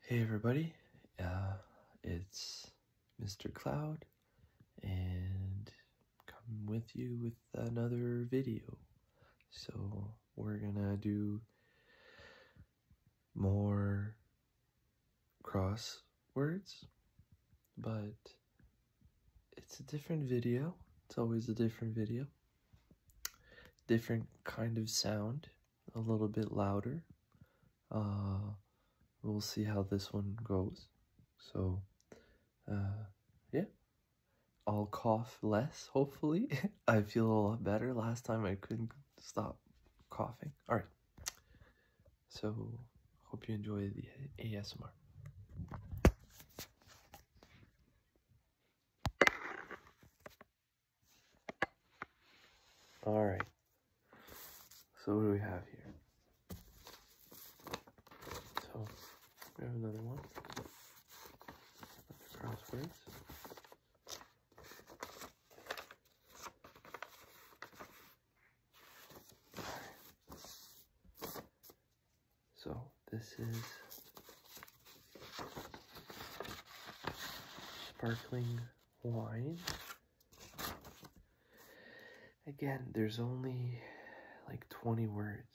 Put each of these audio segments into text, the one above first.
Hey everybody, uh, it's Mr. Cloud, and coming with you with another video. So we're gonna do more crosswords, but it's a different video. It's always a different video different kind of sound, a little bit louder. Uh, we'll see how this one goes. So, uh, yeah. I'll cough less, hopefully. I feel a lot better. Last time I couldn't stop coughing. All right. So, hope you enjoy the ASMR. All right. So what do we have here? So we have another one. crosswords. So this is sparkling wine. Again, there's only like 20 words.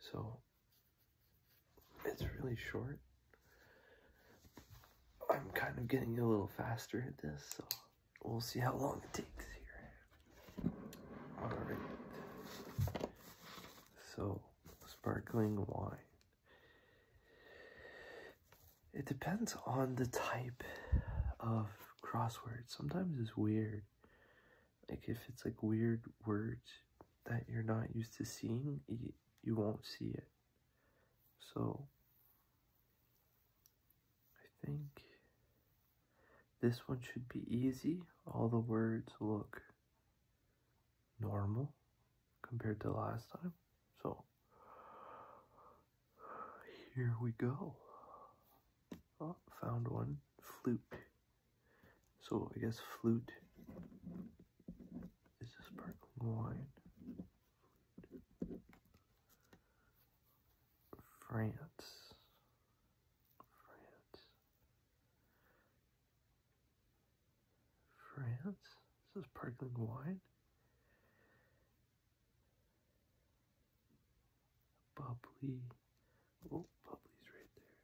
So it's really short. I'm kind of getting a little faster at this, so we'll see how long it takes here. Alright. So, sparkling wine. It depends on the type of crossword. Sometimes it's weird. Like, if it's like weird words that you're not used to seeing, you, you won't see it. So, I think this one should be easy. All the words look normal compared to last time. So here we go. Oh, found one. Flute. So I guess flute is a sparkling wine. France. France. France? This is sparkling wine? Bubbly. Oh, bubbly's right there.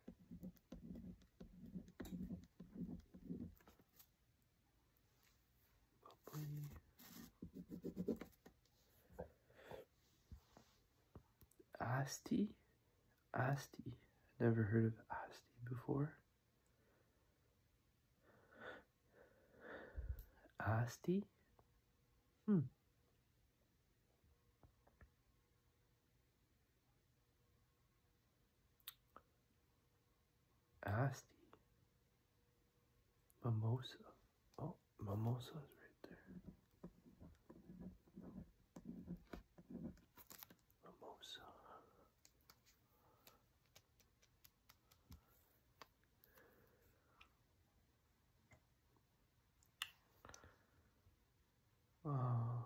Bubbly. Asti? Asti. Never heard of Asti before. Asti? Hmm. Asti. Mimosa. Oh, mimosa is right there. Mimosa. Uh,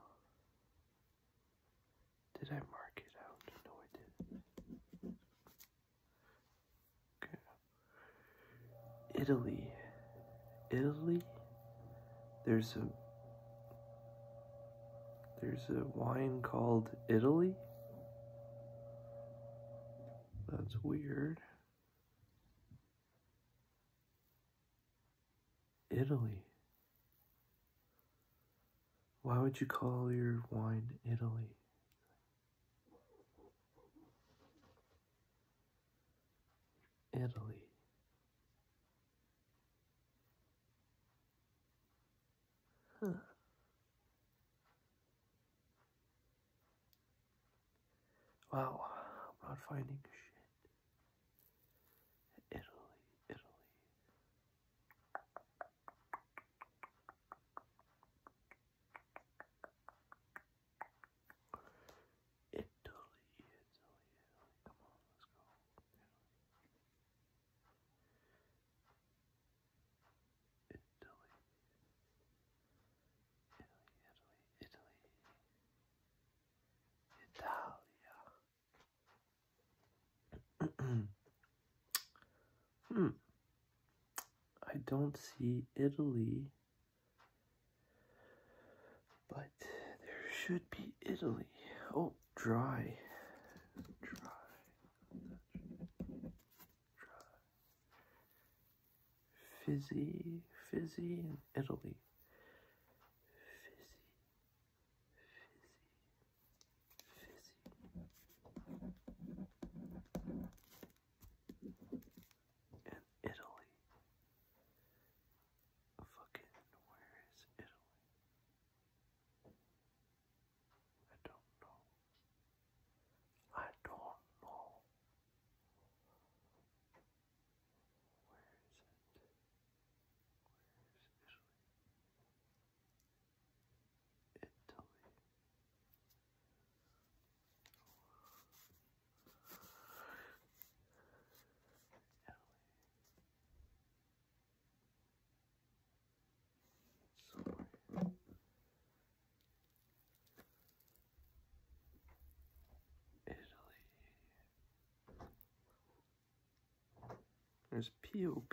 did I mark it out? No, I didn't. Italy. Italy. There's a there's a wine called Italy. That's weird. Italy. Why would you call your wine Italy? Italy. Huh. Wow, I'm not finding shit. Italy, Italy. Italy, Italy, Come on, let's go. Italy. Italy. Italy, Italy, Italia. Hmm. hmm. I don't see Italy but there should be Italy. Oh, dry. Dry. Dry. Fizzy, fizzy in Italy. Fizzy, fizzy, fizzy. In Italy. Fucking where is Italy? I don't know. I don't know. Where is it? Where is Italy? Italy. Italy. There's POP.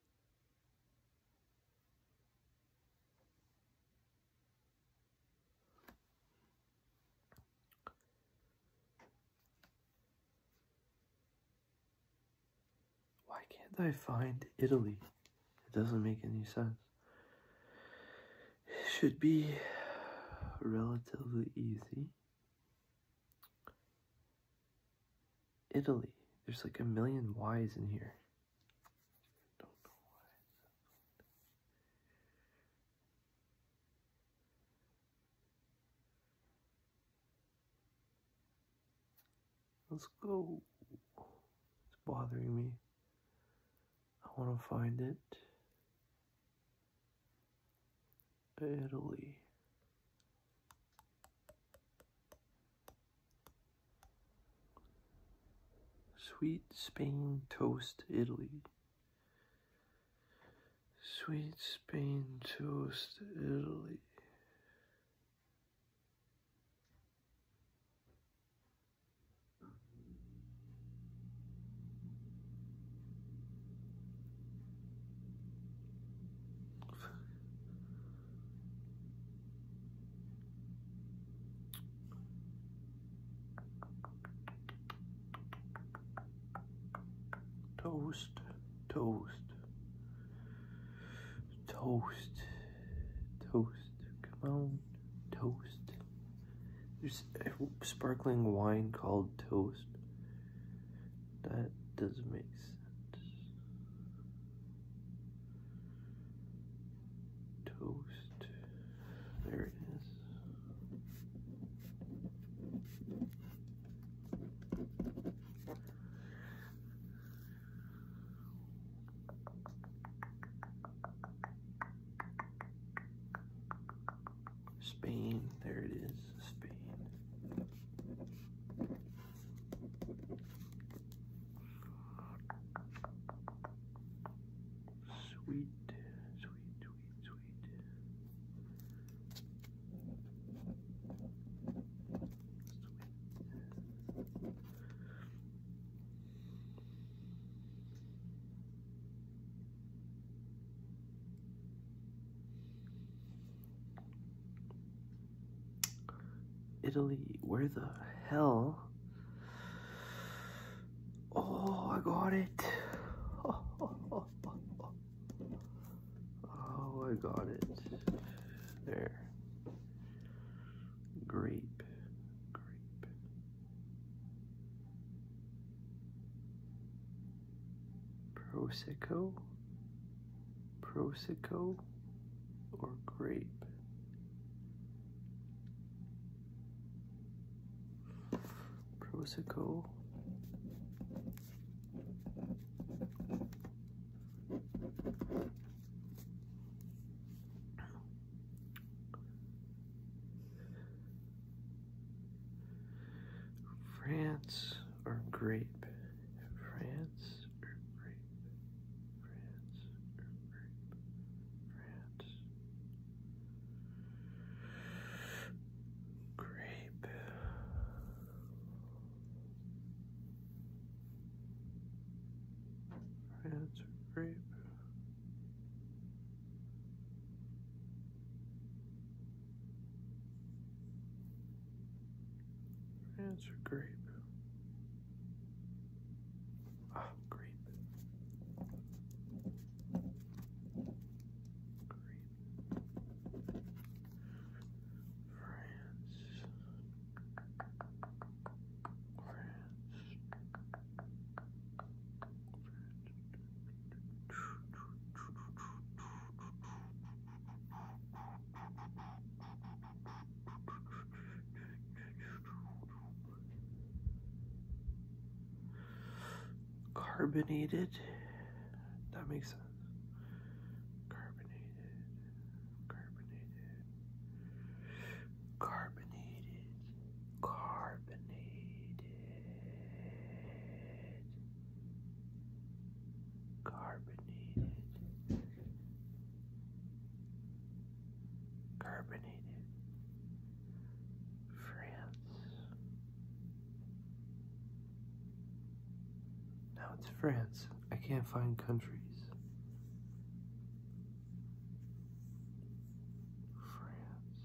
Why can't I find Italy? It doesn't make any sense. It should be relatively easy. Italy. There's like a million Y's in here. Let's go. It's bothering me. I want to find it. Italy. Sweet Spain toast Italy. Sweet Spain toast Italy. Toast, toast, toast, toast, come on, toast. There's a sparkling wine called toast. That doesn't make sense. Toast. There it is. Spain, there it is, Spain. Sweet, sweet, sweet, sweet. Italy, where the hell? Oh, I got it. Oh, I got it. There. Grape. Grape. Prosecco. Prosecco or grape? Prosecco France or grape? France grape, France grape, France, grape. France grape. That's a grape. Ah, grape. Grape. France. France. France. Carbonated. That makes sense. Carbonated. Carbonated. Carbonated. Carbonated carbonated, carbonated, France. Now it's France. I can't find countries. France.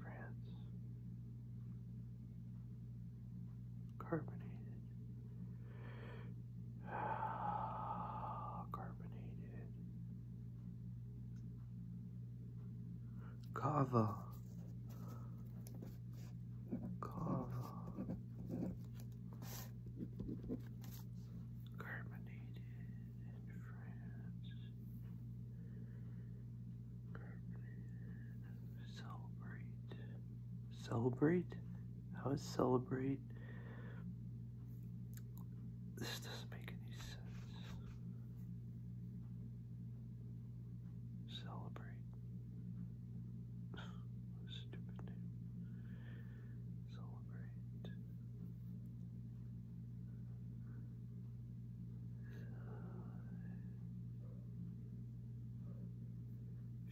France, carbonated, carbonated, cava, cava. Carbonated, in Celebrate. How to celebrate? This doesn't make any sense. Celebrate. Stupid Celebrate.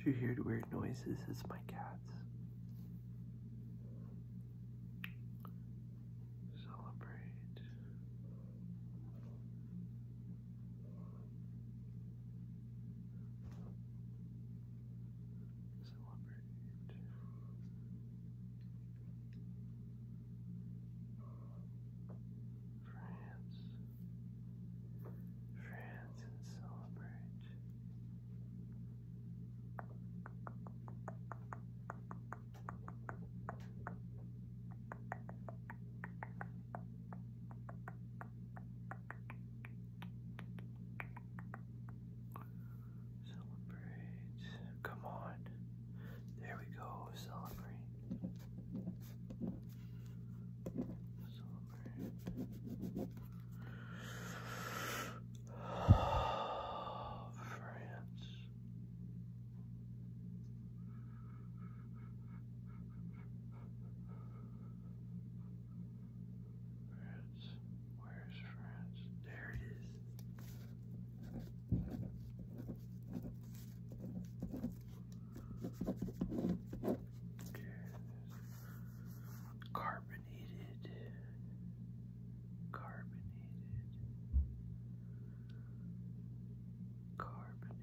She hears weird noises, it's my cats. Celebrate celebrate. France, France, and Celebrate, Celebrate. Come on. There we go. Celebrate. France. France. Where's France? There it is. carbonated. Carbonated. Carbonated.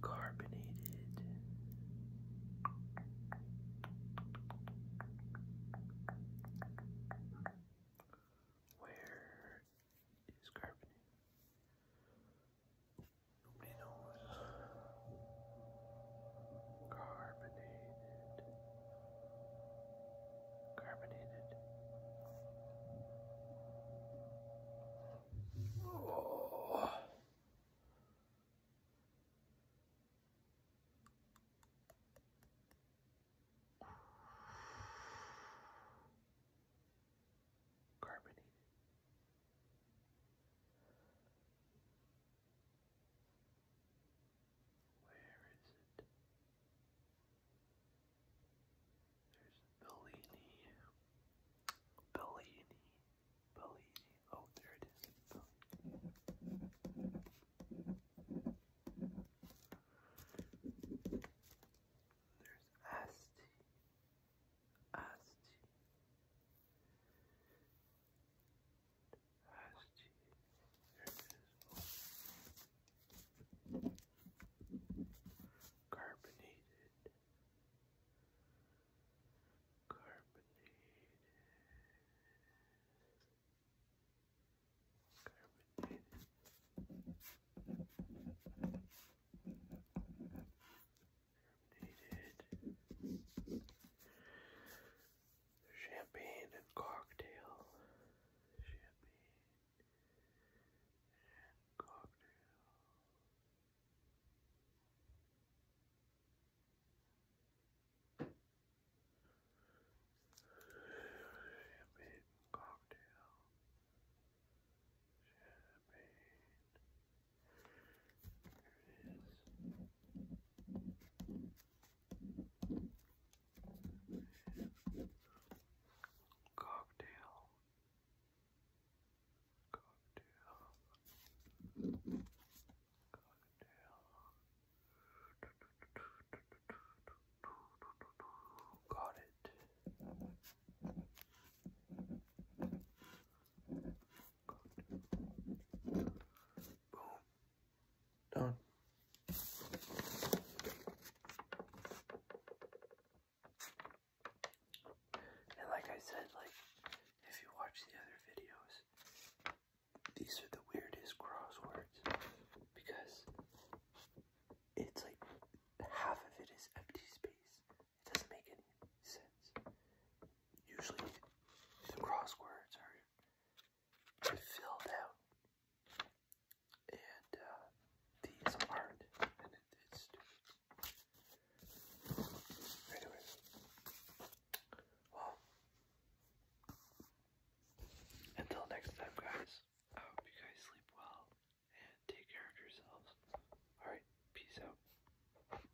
Carbonated. Where is carbonate? Nobody knows carbonated, carbonated. Oh. Carbonated. Where is it? There's Bellini. Bellini. Bellini. Oh, there it is. There's Asti. Asti last year. Carbonated. Carbonated. Carbonated. Carbonated champagne and cocktail, champagne and cocktail. Champagne cocktail. Champagne. There it is. Cocktail. Cocktail. Cocktail. Got it. Boom. Done. And like I said, like if you watch the other videos, these are the weirdest crosswords because it's like half of it is empty space. It doesn't make any sense usually crosswords are filled out and uh, these aren't and it's stupid. Anyways, well, until next time guys, I hope you guys sleep well and take care of yourselves. Alright, peace out.